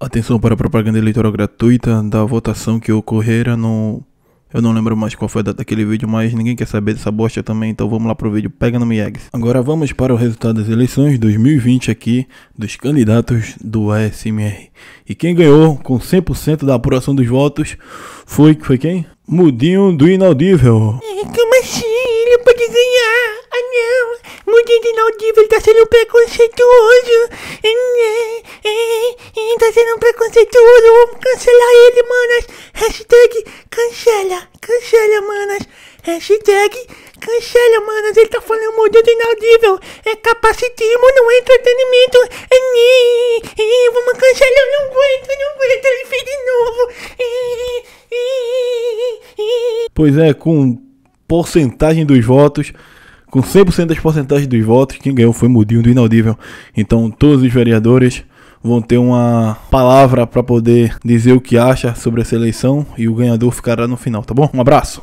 Atenção para a propaganda eleitoral gratuita da votação que ocorrera no. Eu não lembro mais qual foi a data daquele vídeo, mas ninguém quer saber dessa bosta também, então vamos lá pro vídeo, pega no Miegs. Agora vamos para o resultado das eleições 2020 aqui dos candidatos do ASMR. E quem ganhou com 100% da apuração dos votos foi, foi quem? Mudinho do Inaudível. É, como assim? Ele pode ganhar? Ah não, Mudinho inaudível, ele tá sendo preconceituoso. Hum, é, é, é, tá sendo preconceituoso, vamos cancelar ele, manas. Hashtag cancela, cancela, manas. Hashtag cancela, manas. Ele tá falando maldito inaudível. É capacitismo, não hum, é entretenimento. Vamos cancelar, eu não aguento, não aguento. Ele fez de novo. Hum, pois é, com porcentagem dos votos, com 100% das porcentagens dos votos, quem ganhou foi Mudinho do Inaudível. Então todos os vereadores vão ter uma palavra para poder dizer o que acha sobre essa eleição e o ganhador ficará no final, tá bom? Um abraço.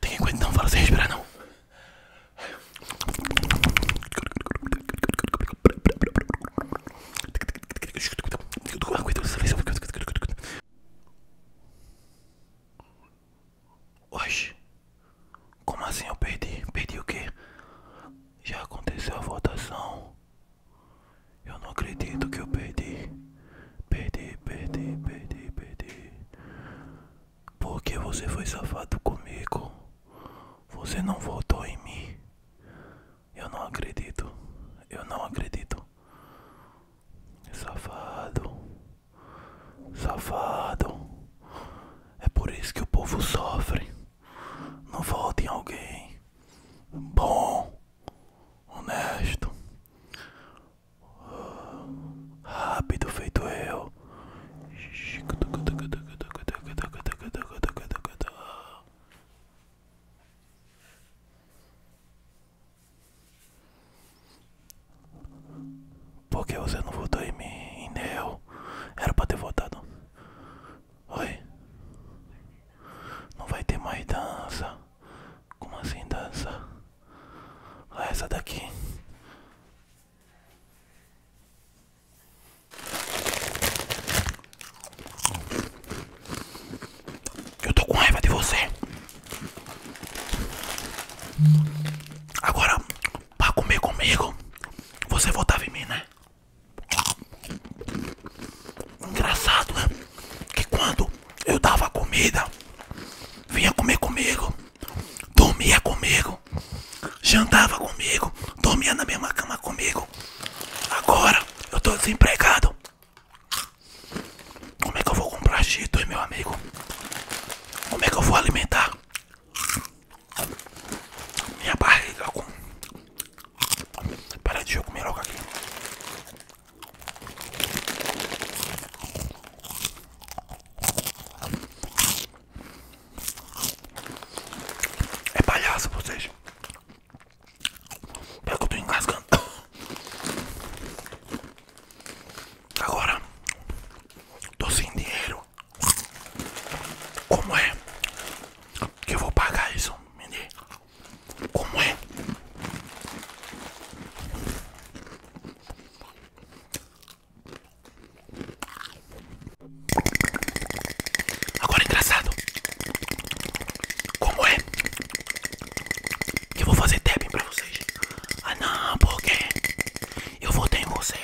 Tem que não fala sem respirar não. Oxe, como assim eu perdi? Perdi o que? Já aconteceu a votação. Eu não acredito que eu perdi. Perdi, perdi, perdi, perdi. Porque você foi safado comigo. Você não voltou em mim. Eu não acredito. Eu não acredito. Safado. Safado. É por isso que o povo sofre. Não volte em alguém. Bom honesto, rápido feito eu. Por que você não votou em mim, em eu? Era pra ter votado Oi? Não vai ter mais dança? Como assim dança? Ah, essa daqui. Eu tô com raiva de você. Agora, pra comer comigo, você votava em mim, né? Engraçado, né? Que quando eu dava comida, vinha comer comigo, dormia comigo, jantava comigo, dormia na mesma cama comigo. Agora eu tô desempregado. Como é que eu vou comprar Cheetos, meu amigo? Como é que eu vou alimentar minha barriga com para de eu comer logo aqui. É palhaço vocês. Pelo que eu tô engasgando. Agora, tô sem dinheiro. Como é que eu vou pagar isso, menino? como é. Agora é engraçado. Como é que eu vou fazer tapping pra vocês? Ah não, porque eu votei em você.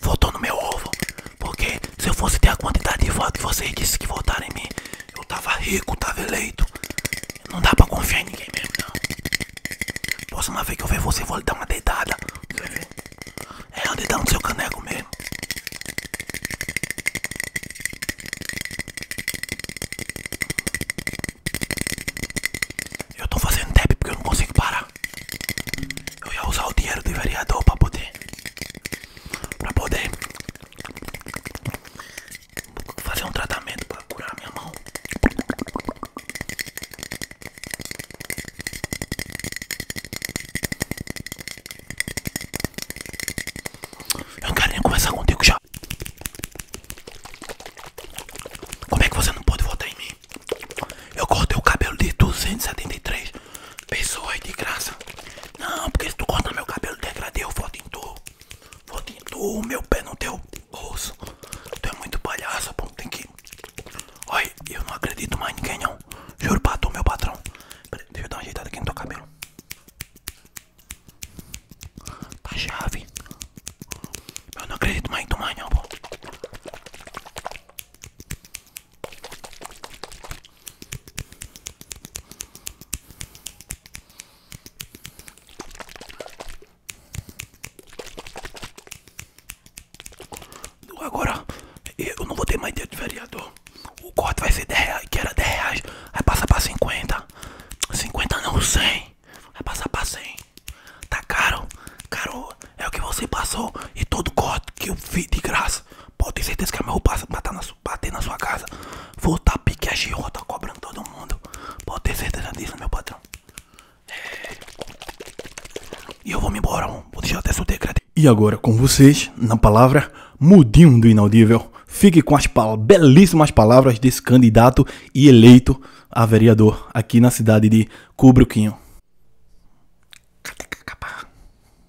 Votou no meu ovo. Porque se eu fosse ter a quantidade de votos que vocês disseram que votaram em mim, eu tava rico, tava eleito. Não dá pra confiar em ninguém mesmo, não. Próxima vez que eu ver você, eu vou lhe dar uma deitada. Quer ver? É, uma deitada no seu caneco mesmo. Eu tô fazendo tap porque eu não consigo parar. Eu ia usar o dinheiro do vereador pra poder. Pra poder Vou fazer um tratamento para curar minha mão. Eu não quero nem conversar contigo já. Como é que você não pode votar em mim? Eu cortei o cabelo de 273 Pessoas de graça. Não, porque se tu cortar meu cabelo degradê, eu voto em tu. Voto em tu, meu pé no teu bolso. Tu é muito palhaço, pô. Tem que. Olha, eu não acredito mais em ninguém, não. Juro pra tu, meu patrão. deixa eu dar uma ajeitada aqui no teu cabelo. Tá chave. Eu não acredito mais em tu mais, pô. Agora eu não vou ter mais dia de vereador. O corte vai ser 10 reais, que era 10 reais. Vai passar pra 50. 50 não, 100. Vai passar pra 100. Tá caro? Caro é o que você passou. E todo corte que eu fiz de graça. Pode ter certeza que a minha roupa passa na sua bater na sua casa, voltar pique a girota tá cobrando todo mundo. Pode ter certeza disso, meu patrão. E eu vou me embora, vou deixar até seu decreto. E agora com vocês, na palavra, Mudinho do Inaudível. Fique com as pal belíssimas palavras desse candidato e eleito a vereador aqui na cidade de Cubruquinho.